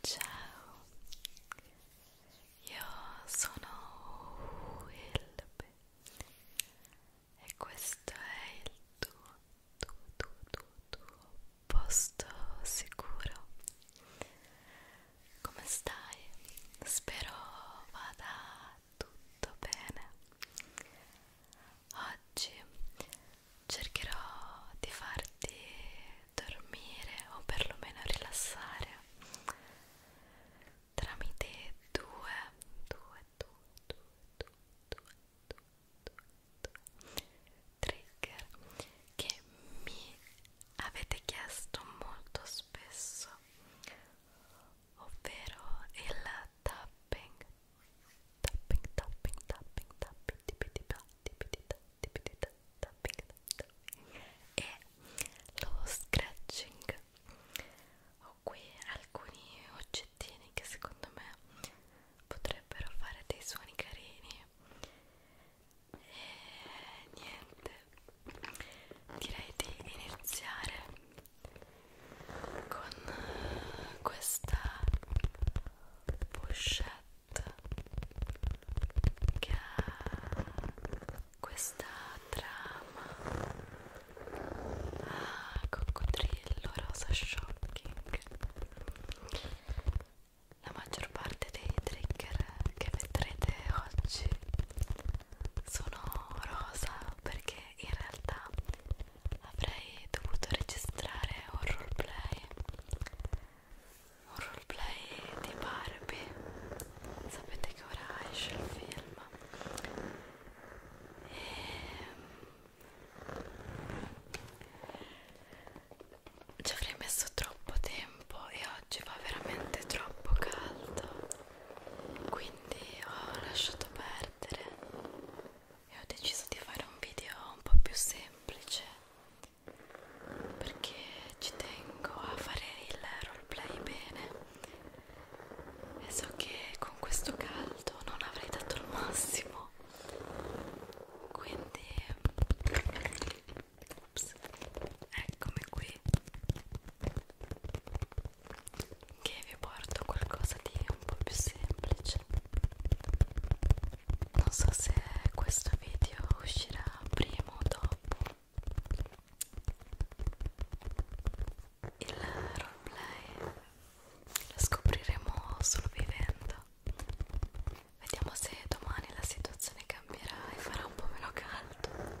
Ciao, io sono Wilbe e questo è il tuo, tuo, tuo, tuo, tuo posto sicuro. Come stai? Spero vada tutto bene oggi cercherò di farti dormire o perlomeno rilassare tramite due, due, due, due, due, due, due, due, due trigger che mi avete chiesto molto spesso ovvero il tapping tapping tapping tapping tapping tipitita tipitita tipitita tapping tapping e lo scratching ho qui alcuni oggettini che secondo me potrebbero fare dei suoni carini e niente direi di iniziare con eh, questa pochette che ha questa trama ah, coccodrillo rosa shocking la maggior parte dei trigger che vedrete oggi sono rosa perché in realtà avrei dovuto registrare un roleplay un roleplay di Barbie sapete che ora esce il film e ehm, ci avrei messo troppo tempo e oggi va veramente troppo caldo quindi ho lasciato perdere e ho deciso di fare un video un po' più semplice perché ci tengo a fare il roleplay bene e so che con questo caldo non avrei dato il massimo quindi Ups. eccomi qui che vi porto qualcosa di un po' più semplice non so se questo video uscirà prima o dopo il roleplay lo scopriremo solo vivendo vediamo se domani la situazione cambierà e farà un po' meno caldo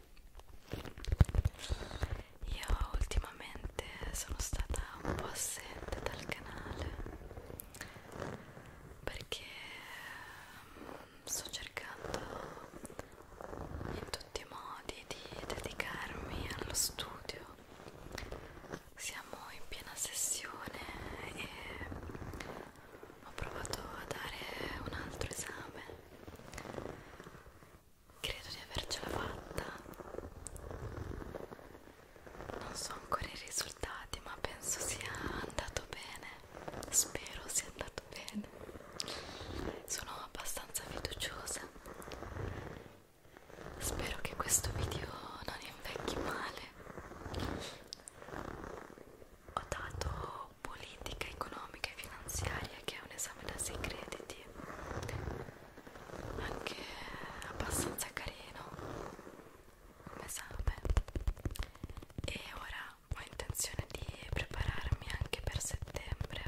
Io ultimamente sono stata un po' assente dal canale perché mm, sto cercando in tutti i modi di dedicarmi allo studio. Siamo in piena sessione e ho provato a dare un altro esame credo di avercela fatta non so ancora i risultati ma penso sia andato bene spero sia andato bene sono abbastanza fiduciosa spero che questo video non invecchi male ho dato politica economica e finanziaria che è un esame da 6 crediti anche abbastanza carino come sape e ora ho intenzione di prepararmi anche per settembre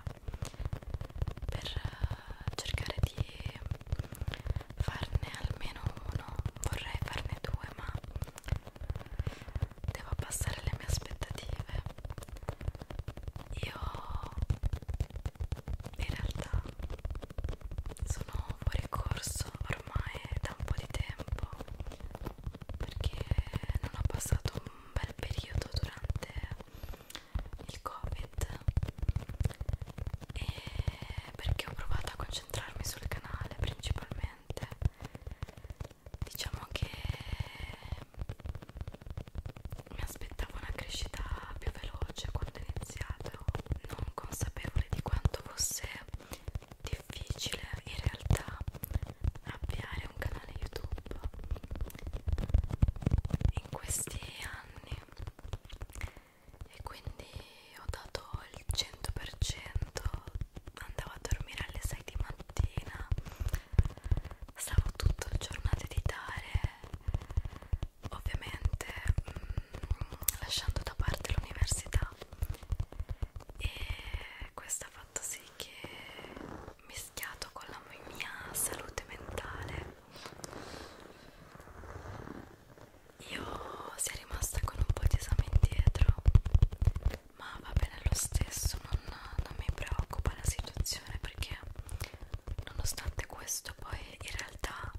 per eh, cercare di farne almeno uno vorrei farne due ma devo abbassare le mie aspettative io in realtà sono fuori corso ormai da un po' di tempo perché non ho passato un bel periodo durante il covid e perché ho provato a concentrarmi sul canale principalmente diciamo che mi aspettavo una crescita più veloce quando ho iniziato non consapevole di quanto fosse difficile in realtà avviare un canale youtube in questi anni e quindi ho dato il 100% andavo a dormire alle 6 di mattina stavo tutto il giorno a editare ovviamente mh, mm, lasciando da parte l'università e questo ha fatto sì che mischiato con la mia salute mentale io sia rimasta con un po' di esame indietro ma va bene lo stesso non, non mi preoccupa la situazione perché nonostante questo poi in realtà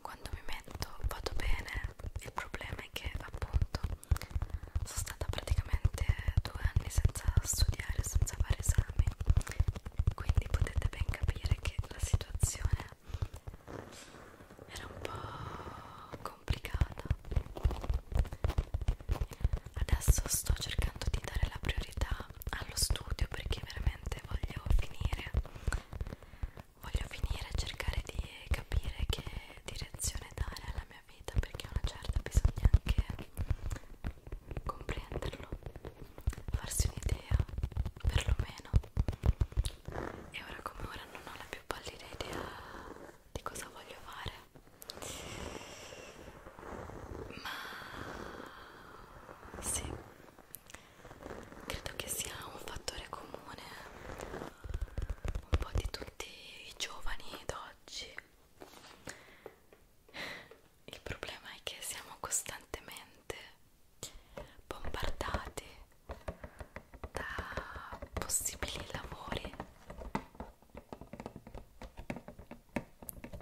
quando mi metto vado bene il problema è che appunto sono stata praticamente due anni senza studiare senza fare esami quindi potete ben capire che la situazione era un po' complicata adesso sto cercando di dare la priorità allo studio perché veramente voglio finire voglio finire e cercare di capire che direzione dare alla mia vita perché a una certa bisogna anche comprenderlo farsi un'idea perlomeno e ora come ora non ho la più pallida idea di cosa voglio fare ma sì, credo che sia un fattore comune un po' di tutti i giovani d'oggi. Il problema è che siamo costantemente bombardati da possibili lavori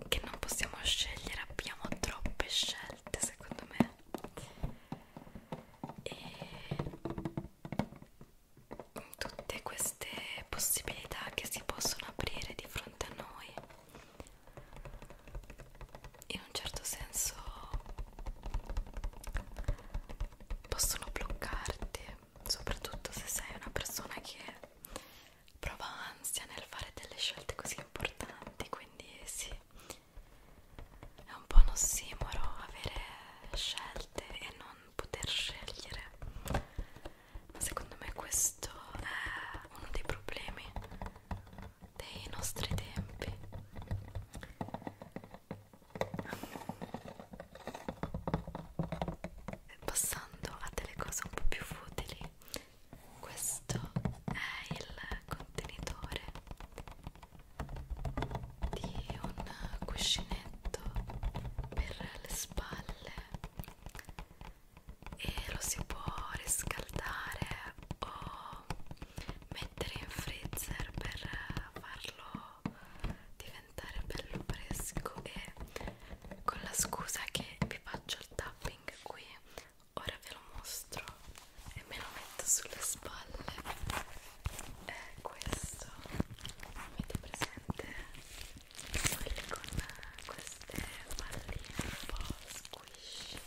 che non possiamo scegliere, abbiamo troppe scelte secondo me e tutte queste possibilità che si possono aprire di fronte a noi in un certo senso possono bloccarti soprattutto se sei una persona che prova ansia nel fare delle scelte così importanti, quindi sì, è un po' un ossimoro avere scelte e non poter scegliere, ma secondo me questo è uno dei problemi dei nostri tempi Passando a delle cose un po' più futili, questo è il contenitore di un cuscinetto per le spalle e lo si può riscaldare o mettere in freezer per farlo diventare bello fresco e con la scusa che vi faccio il tapping qui ora ve lo mostro e me lo metto sulle spalle è questo avete presente quelli con queste palline un po' squishy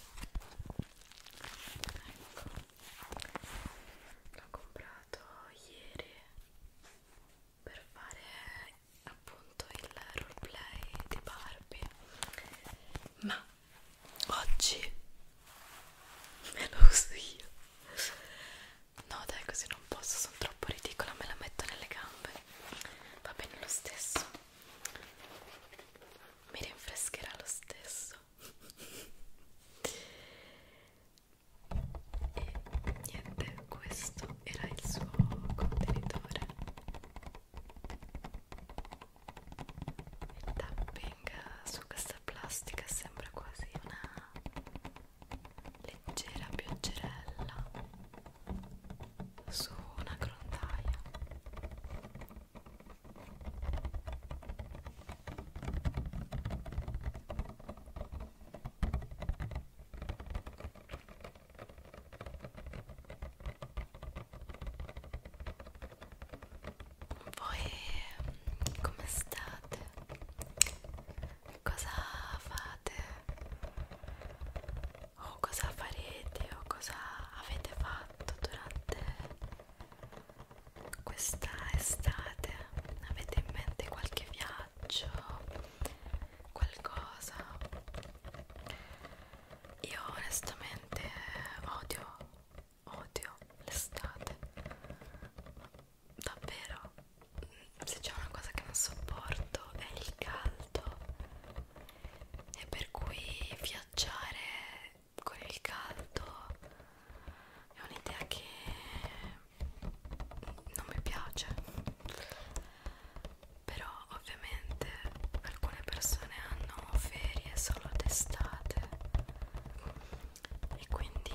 ecco l'ho comprato ieri per fare appunto il roleplay di Barbie ma oggi me lo uso io no dai così non posso sono troppo ridicola me la metto nelle gambe va bene lo stesso mi rinfrescherà lo stesso e niente questo era il suo contenitore il tapping su questa plastica sembra quasi una leggera pioggerella su una grondaia voi mm, come state? Cosa fate? O cosa farete? O cosa avete fatto durante questa estate? Avete in mente qualche viaggio? faccio qualcosa io onestamente odio odio l'estate davvero se c'è una cosa che non sopporto è il caldo e per cui viaggiare con il caldo è un'idea che non mi piace però ovviamente alcune persone hanno ferie solo d'estate e quindi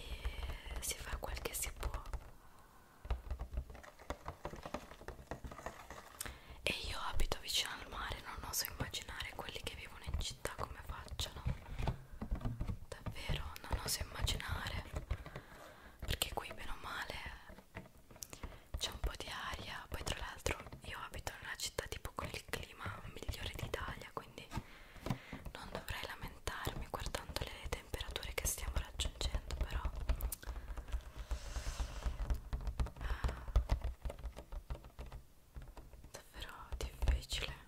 si fa quel che si può e io abito vicino al mare non oso immaginare quelli che vivono in città come facciano davvero non oso immaginare perché qui bene o male c'è un po' di aria poi tra l'altro io abito in una città tipo con il clima migliore d'Italia quindi non dovrei lamentarmi guardando le temperature che stiamo raggiungendo però ah, davvero difficile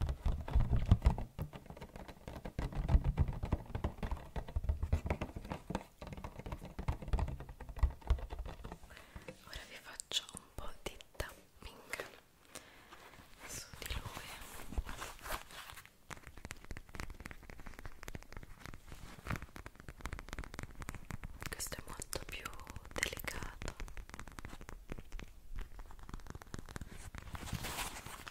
ora vi faccio un po' di tapping su di lui questo è molto più delicato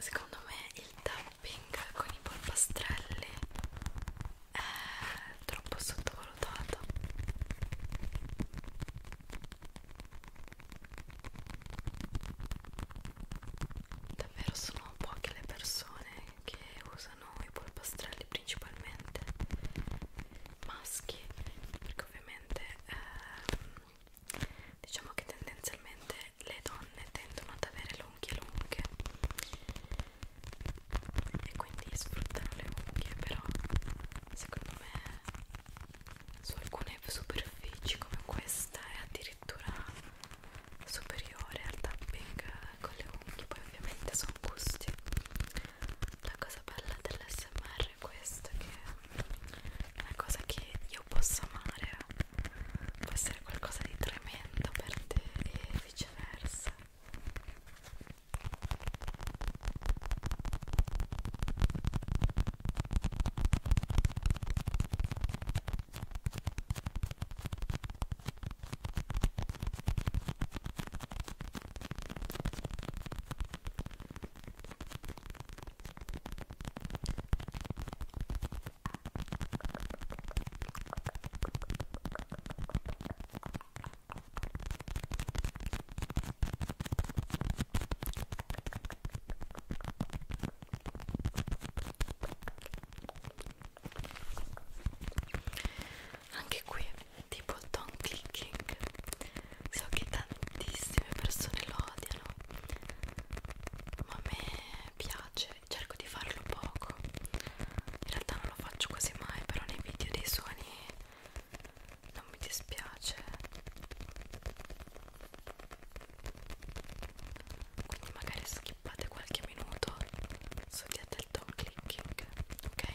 Secondo me il tapping con i polpastrelli è troppo sottovalutato. Davvero sono poche le persone che usano i polpastrelli principalmente maschi perché ovviamente ehm, diciamo che tendenzialmente le donne tendono ad avere le unghie lunghe e quindi sfruttano le unghie però secondo me su alcune superfici come questa è addirittura superiore al tapping con le unghie poi ovviamente sono gusti la cosa bella dell'SMR è questa che è una cosa che io posso amare può essere qualcosa di tremendo per te e viceversa anche qui tipo il tongue clicking so che tantissime persone lo odiano ma a me piace cerco di farlo poco in realtà non lo faccio quasi mai però nei video dei suoni non mi dispiace quindi magari skippate qualche minuto scegliete il down clicking ok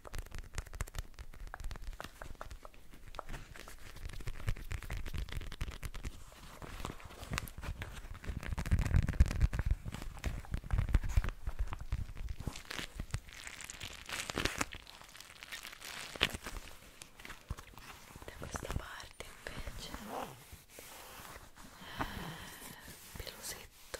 Da questa parte invece pelusetto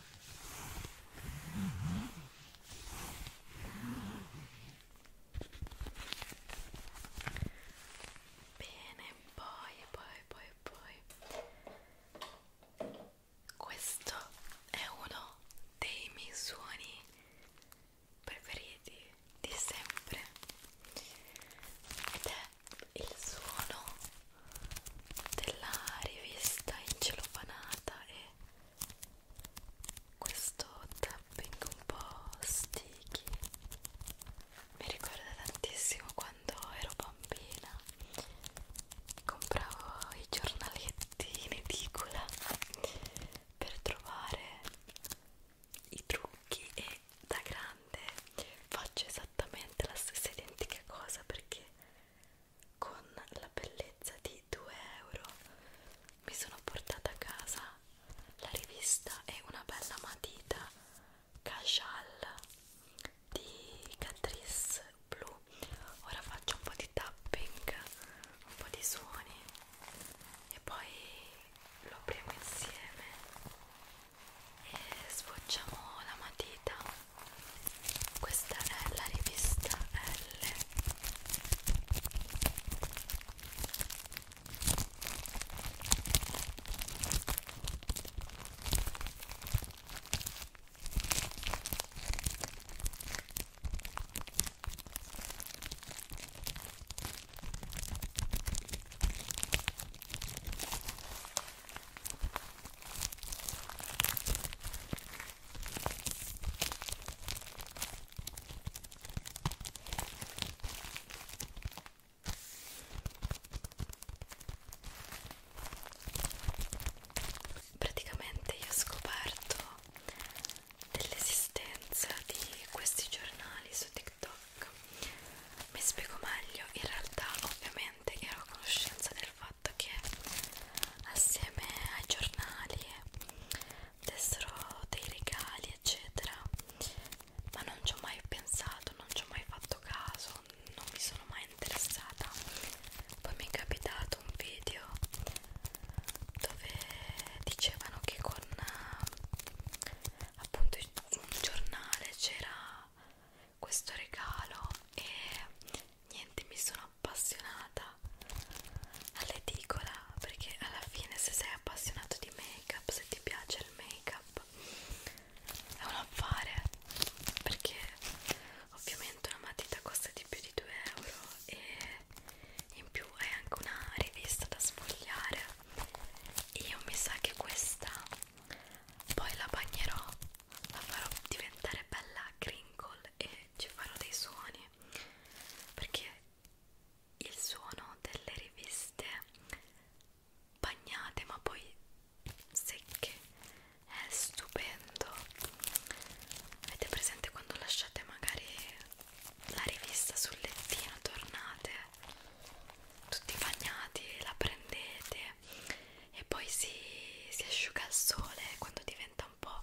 Bene, poi, poi, poi, poi. Questo è uno dei miei suoni preferiti di sempre ed è il suono della rivista incelofanata e questo tapping un po' sticky mi ricorda tantissimo quando ero bambina compravo i giornaletti in edicola per trovare i trucchi e da grande faccio esattamente la stessa identica cosa perché con la bellezza di 2 euro mi sono portata a casa la rivista e una bella matita Cajal di Catrice Blu ora faccio un po' di tapping un po' di suoni e poi lo apriamo insieme e sfoggiamo la matita questa è la rivista L Praticamente io ho scoperto dell'esistenza di questi giornali su TikTok. Mi spiego meglio, in realtà ovviamente ero a conoscenza del fatto fatto che assieme ai giornali dessero dei regali eccetera ma non ci ho mai pensato non ci ho mai fatto caso non mi sono mai interessata poi mi è capitato un video dove dicevano che con appunto un giornale c'era questo regalo e niente mi sono appassionata all'edicola perché alla fine se sei appassionato di make up se ti piace il make up è un affare perché ovviamente una matita costa di più di 2 euro e in più è anche una rivista da sfogliare io mi sa che questa poi la bagnerò la farò diventare bella crinkle e ci farò dei suoni perché il suono delle riviste bagnate ma poi secche è stupendo avete presente quando lasciate magari la rivista sul lettino tornate tutti bagnati la prendete e poi si, si asciuga al sole quando diventa un po'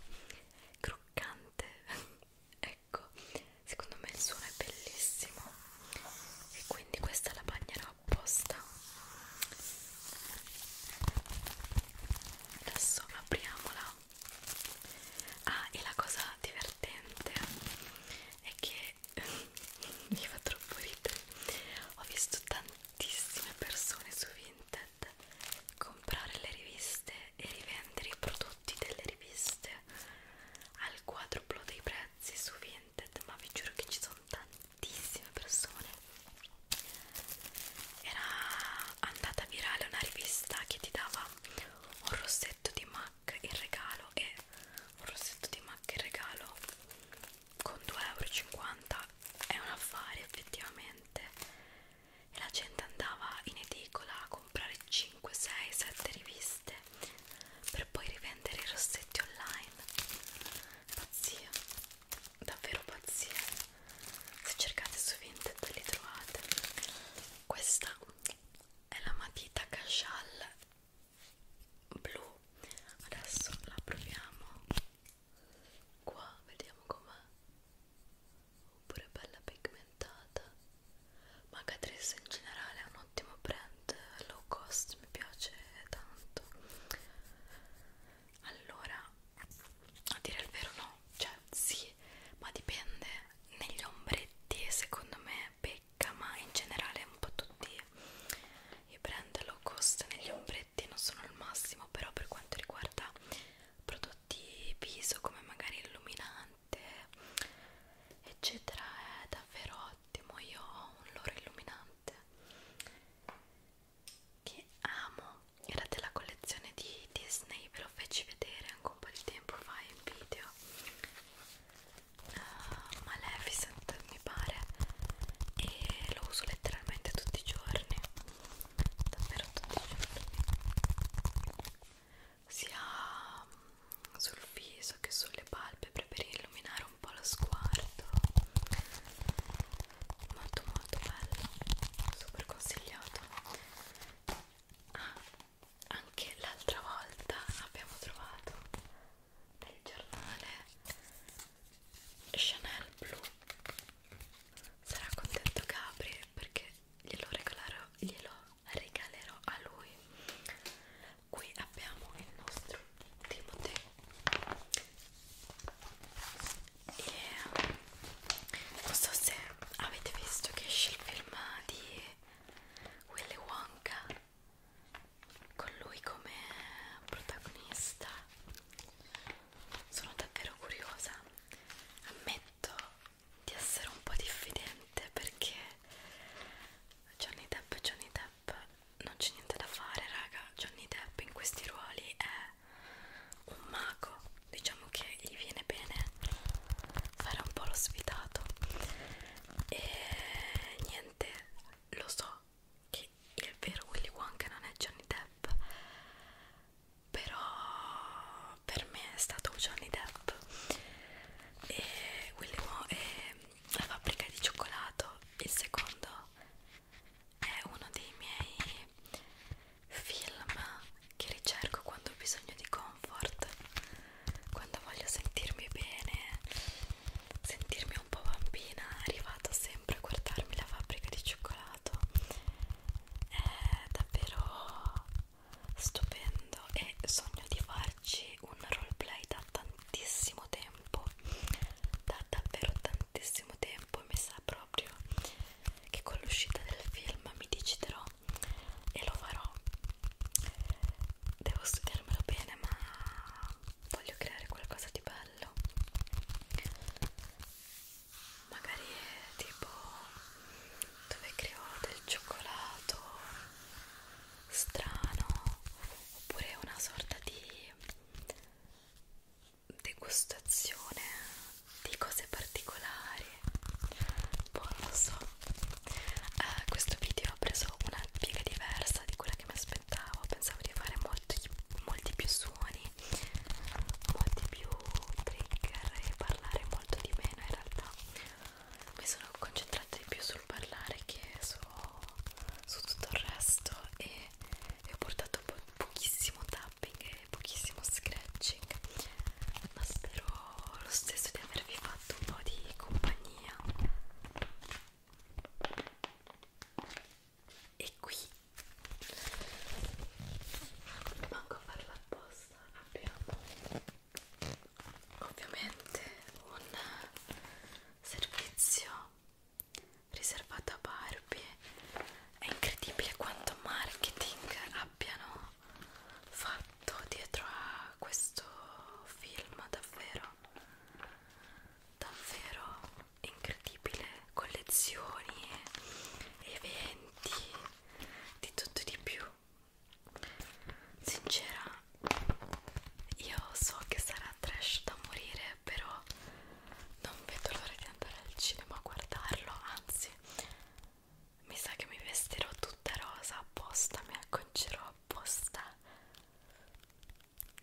croccante ecco secondo me il suono è bellissimo e quindi questa la bagnerò apposta adesso apriamola ah e la cosa divertente è che mi fa troppo ridere ho visto tante tantissime persone su Vinted comprare le riviste e rivendere i prodotti delle riviste al quadruplo dei prezzi su Vinted ma vi giuro che ci sono tantissime persone era andata virale una rivista che ti dava un rossetto di MAC in regalo e un rossetto di MAC in regalo con 2,50 euro è un affare effettivamente e la gente andava in edicola a comprare 5, 6, 7 riviste per poi rivendere i rossetti online pazzia davvero pazzia se cercate su Vinted li trovate questa è la matita Cachal blu adesso la proviamo qua vediamo com'è oppure bella pigmentata ma Catrice in generale è un ottimo brand low cost mi piace tanto allora a dire il vero no cioè sì ma dipende negli ombretti secondo me pecca ma in generale un po' tutti via i brand low cost negli ombretti non sono al massimo però per quanto riguarda prodotti viso come magari illuminante eccetera è davvero ottimo io ho un loro illuminante che amo era della collezione di Disney ve lo feci vedere anche un po' di tempo fa in video uh, Maleficent mi pare e lo uso letteralmente tutti i giorni davvero tutti i giorni sia mm, sul viso che sulle palpebre per illuminare un po' lo sguardo molto molto bello super consigliato ah, anche l'altra volta abbiamo trovato nel giornale Chanel blu sarà contento Gabri perché glielo regalerò, glielo regalerò a lui qui abbiamo il nostro Timothy e non so se avete visto che esce il film di Willy Wonka con lui come protagonista sono davvero curiosa ammetto di essere un po' diffidente perché Johnny Depp Johnny Depp non c'è niente da fare raga Johnny Depp in questi ruoli è un mago diciamo che gli viene bene fare un po' lo sfidato e niente lo so che il vero Willy Wonka non è Johnny Depp però per me è stato Johnny Depp e Willy Wonka è la fabbrica di cioccolato il secondo è uno dei miei film che ricerco quando ho bisogno di comfort quando voglio sentirmi bene sentirmi un po' bambina è arrivato sempre a guardarmi la fabbrica di cioccolato è davvero stupendo e sogno di farci un roleplay da tantissimo tempo da davvero tantissimo tempo mi sa proprio che con l'uscita del film mi deciderò e lo farò devo studiarmelo bene ma voglio creare qualcosa di bello magari tipo dove creo del cioccolato strano oppure una sorta di degustazione di cose particolari poi non lo so eh, questo video ha preso una piega diversa di quella che mi aspettavo pensavo di fare molti, molti più suoni molti più trigger e parlare molto di meno in realtà mi sono concentrata di più sul parlare che su, su tutto il resto e, e ho portato po pochissimo tapping e pochissimo scratching ma spero lo stesso di avervi fatto un po' di compagnia e qui manco a farla apposta abbiamo ovviamente un servizio riservato a Barbie è incredibile quanto marketing abbiano fatto dietro a questo film davvero davvero incredibile collezioni, eventi, di tutto e di più. Sincera, io so che sarà trash da morire, però non vedo l'ora di andare al cinema a guardarlo, anzi mi sa che mi vestirò tutta rosa apposta, mi acconcerò apposta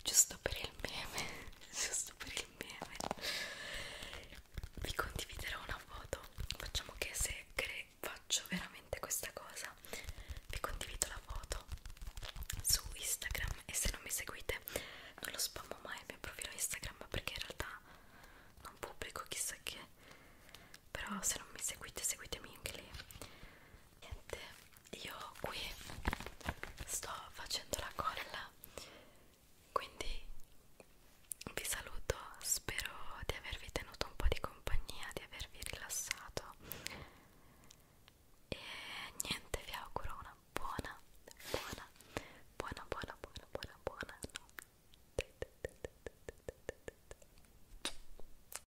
giusto per il meme giusto per il meme vi condividerò una foto facciamo che se faccio veramente questa cosa vi condivido la foto su Instagram e se non mi seguite non lo spammo mai il mio profilo Instagram perché in realtà non pubblico chissà che però se non mi seguite seguitemi anche lì niente io qui sto facendo la colla quindi vi saluto spero di avervi tenuto un po' di compagnia di avervi rilassato e niente vi auguro una buona buona buona buona buona buona buona notte